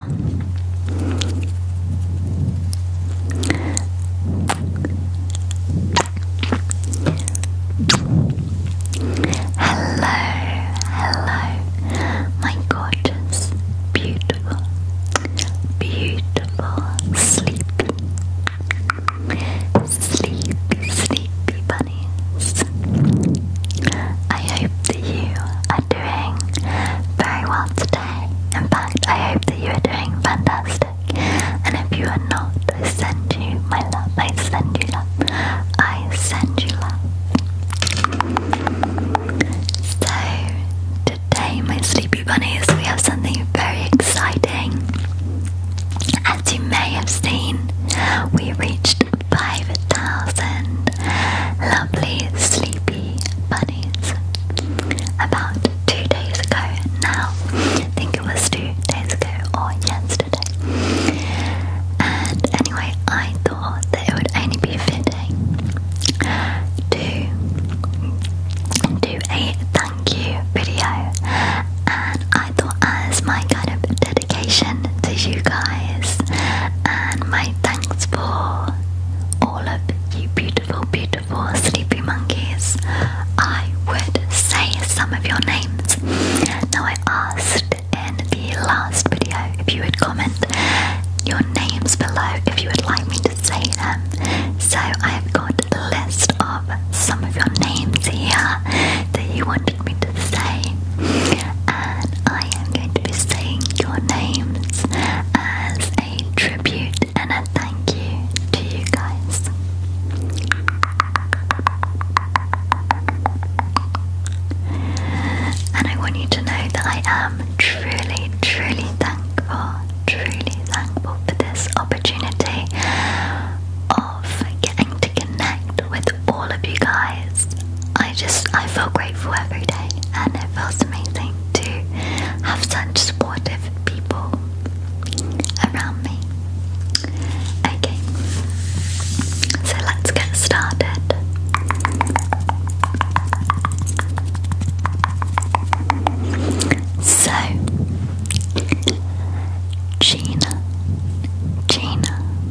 hello, my gorgeous, beautiful, beautiful sleepy, sleepy, sleepy bunnies. I hope that you are very well today. In fact, I hope that you are doing fantastic. And if you are not, I send you my love. I send you love. I send you love. So, today, my sleepy bunnies, we have something very exciting. As you may have seen, we reached 5,000 lovely sleepy bunnies about two days ago now. I think it was two days ago or yesterday. And anyway, I thought that it would only be fitting to do a thank you video. And I thought, as my kind of dedication to you guys and my Thanks for all of you beautiful, beautiful sleepy monkeys. I would say some of your names. Now, I asked in the last video if you would comment your names below if you would like me to say them. So, I've got a list of some of your names here that you wanted me to say and I am going to be saying your names as a tribute and a thank you to you guys. And I want you to know that I am truly, truly thankful, truly thankful for this opportunity of getting to connect with all of you guys. I just I feel grateful every day, and it feels amazing to have such supportive people around me. Okay, so let's get started. So, Gina, Gina,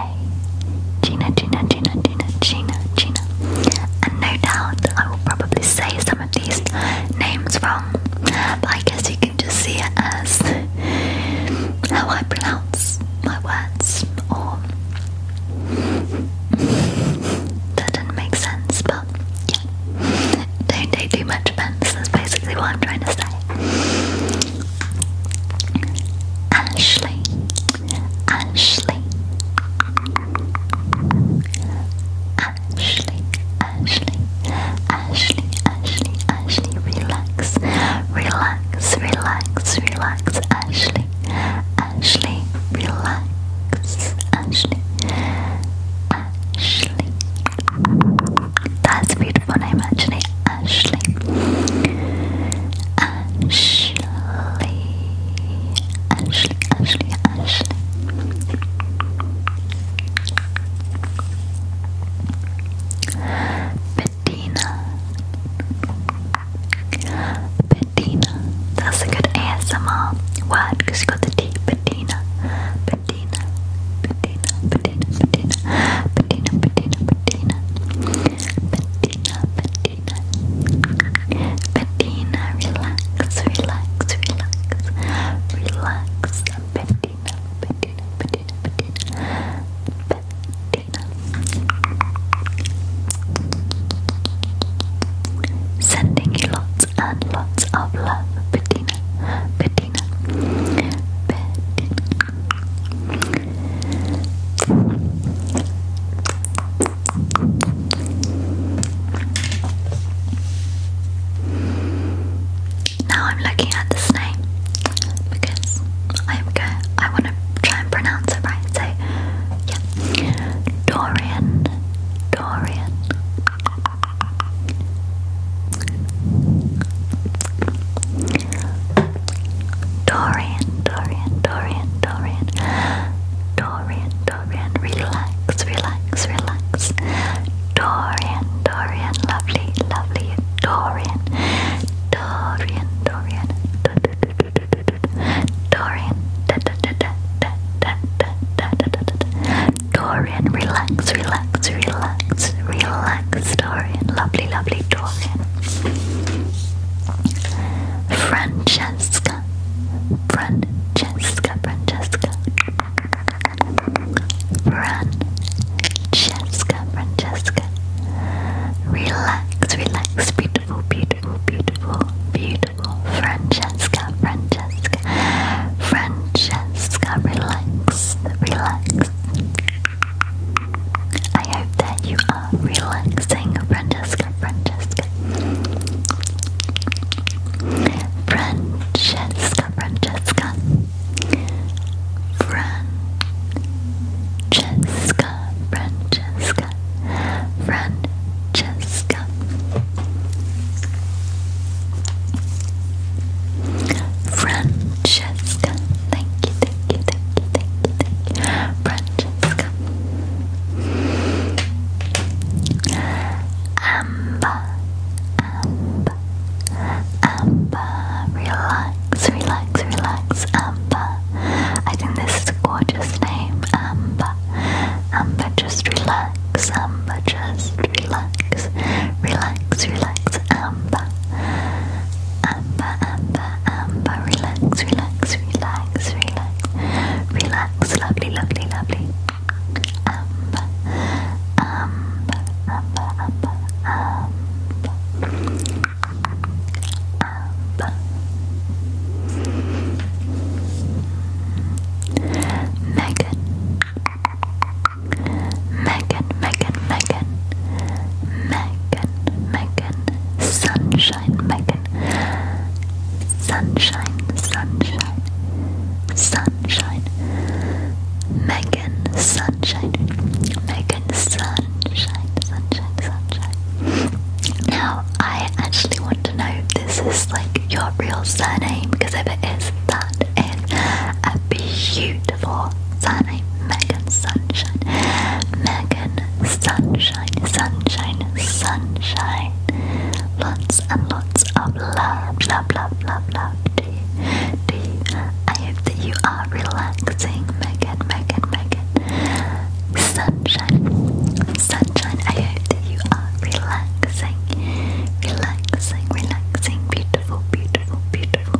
a. Gina, Gina, Gina, Gina, Gina, Gina. And no doubt I will probably say some of these names wrong, but I guess you can just see it as how I pronounce my words, or that didn't make sense, but yeah. Don't take too much offense, that's basically what I'm trying to say. Ashley, Ashley, Ashley, Ashley, Ashley, Ashley, relax, relax, relax, relax, Ashley, Ashley, relax, Ashley, Ashley. That's a beautiful name, actually. Ashley. Ashley. Ashley, Ashley, Ashley. Bettina. Bettina. That's a good ASMR word because you got the T. Bettina. Bettina. Bettina. Bettina. Bettina. Bettina. Bettina. Bettina. Bettina. Bettina. Bettina. relax, relax, relax. Relax, Bettina, Bettina, Bettina, Bettina. Bettina. Sending you lots and lots of love, Bettina. Bettina. Bettina. Now I'm looking at this name because I'm going. I want to try and pronounce it right. So Dorian, Dorian. Dorian, Dorian, Dorian, Dorian, Dorian, Dorian, relax, relax, relax. Dorian, Dorian, lovely, lovely, Dorian, Dorian, Dorian, Dorian, Dorian, relax, relax, relax, relax black historian, lovely, lovely Dorian. Francesca, Francesca, Francesca, Francesca, Francesca. Relax, relax, beautiful, beautiful, beautiful, beautiful. Francesca, Francesca, Francesca, relax, relax. I hope that you are relaxing, Francesca, Francesca. Francesca, Francesca. Francesca, Francesca. Francesca. Francesca. Thank you, thank you, thank you, thank you, thank you. Francesca. Amber, Amber, Amber, relax, relax, relax, Amber. I think this is a gorgeous name, Amber. Amber, just relax, Amber, just relax, relax, relax, Amber amber, amber, amber. Relax, relax, relax, relax. Relax, lovely, lovely, lovely. Amber, amber, amber, amber, amber. Megan. Megan, Megan, Megan, Megan, Megan, Megan, Sunshine, Megan, Sunshine, Sunshine, Sunshine, Megan, Sunshine, Megan, Sunshine, Sunshine, Sunshine. Now, I actually want to know this is like your real surname because if it is, that is a beautiful surname, Megan Sun sunshine. Megan, sunshine, sunshine, sunshine. Lots and lots of love, love, love, love, love to you. I hope that you are relaxing, Megan, Megan, Megan. Sunshine, sunshine. I hope that you are relaxing, relaxing, relaxing. Beautiful, beautiful, beautiful.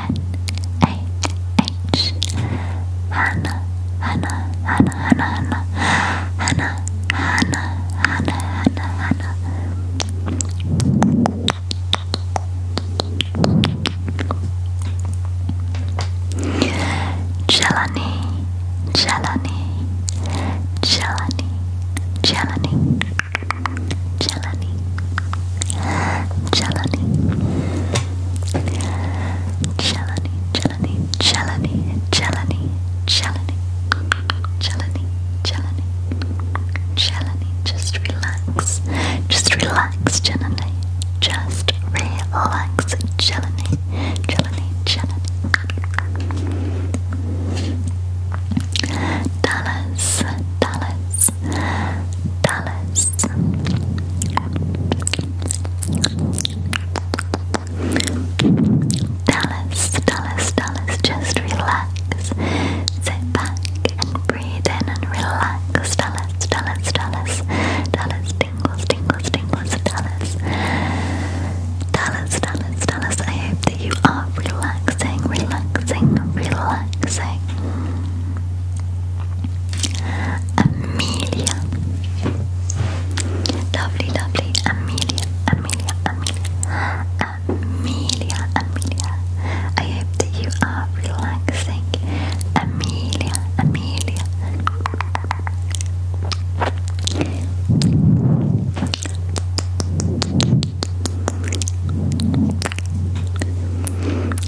H Hannah Hannah Hannah Hannah Hannah Hannah Hannah Hannah Hannah Hannah Jelani Jelani Jelani Jelani Jelani Jelani Jelani Jelani Jelani Jelani Jelani Jelani just relax just relax Jelani just relax Jelani Jelani Jelani Dallas Dallas Dallas, Dallas. Dallas, Dallas, just relax. Sit back and breathe in and relax. Dallas, Dallas, Dallas, Dallas, tingles, tingles, tingles, Dallas. Dallas, Dallas, Dallas, I hope that you are relaxing, relaxing, relaxing. Amelia. Lovely, lovely. Amelia, Amelia, Amelia. Amelia, I hope that you are relaxing. Amelia, Amelia.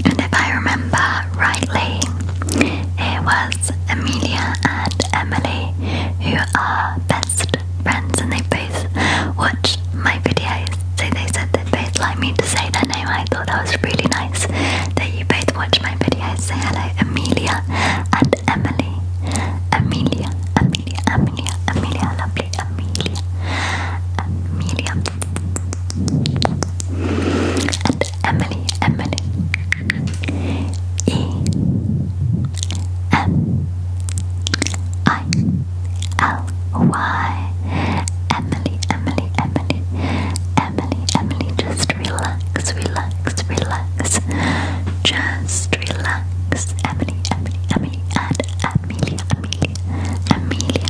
And if I remember rightly, it was Amelia and Emily who are best friends, and they both watched my videos. So they said they'd both like me to say their name. I thought that was really nice that you both watch my videos. Say hello, Amelia and Emily. Amelia, Amelia, Amelia, Amelia, I love Amelia, Amelia, and Emily, Emily, E M I L Y, Emily, Emily, Emily, Emily, Emily. Just relax, relax, relax. Just relax, Emily, Emily, Emily, and Amelia, Amelia, Amelia.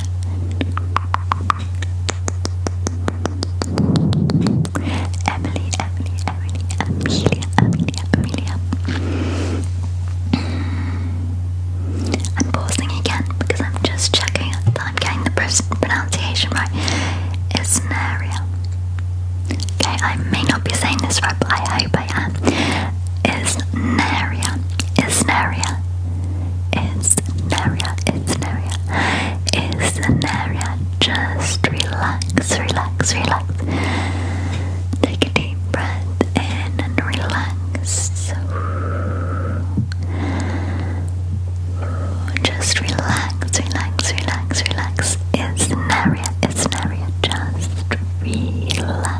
Emily, Emily, Emily, Amelia, Amelia, Amelia. I'm pausing again because I'm just checking that I'm getting the pronunciation right. Isnaria. Okay, I may not be saying this right, but I hope I am. Isnaria, Isnaria, Isnaria, Isnaria, Isnaria. Just relax, relax, relax. Take a deep breath in and relax. Just relax, relax, relax, relax. Isnaria, Isnaria. Just relax.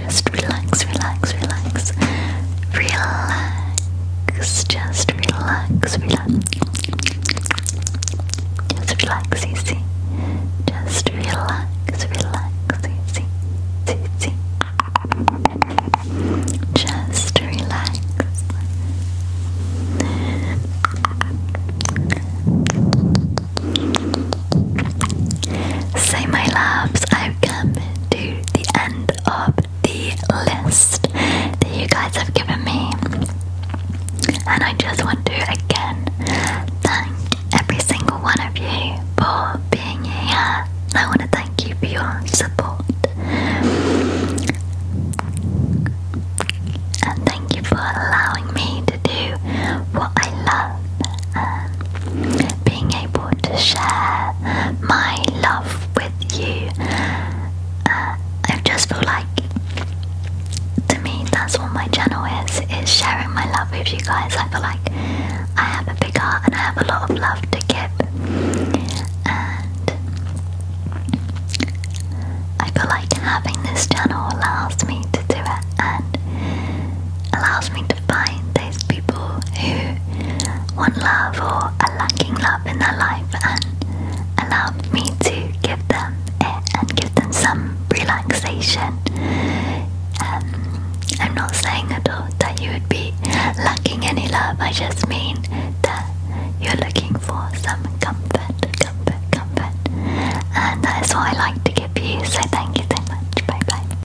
Just relax, relax, relax. Relax. Just relax, relax. Just relax, easy. Just relax, relax, easy. Easy. Just relax. Say my loves, I've come to the end of the list that you guys have given me. And I just want to again thank every single one of you for being here. I want to thank you for your support. And thank you for allowing me to do what I love being able to share my love with you. Uh, I just feel like to me that's what my channel is, is sharing my love with you guys. I feel like I have a big heart and I have a lot of love to give. And I feel like having this channel allows me to do it and allows me find those people who want love or are lacking love in their life and allow me to give them it and give them some relaxation. Um, I'm not saying at all that you would be lacking any love, I just mean that you're looking for some comfort, comfort, comfort. And that's what I like to give you, so thank you so much. Bye bye.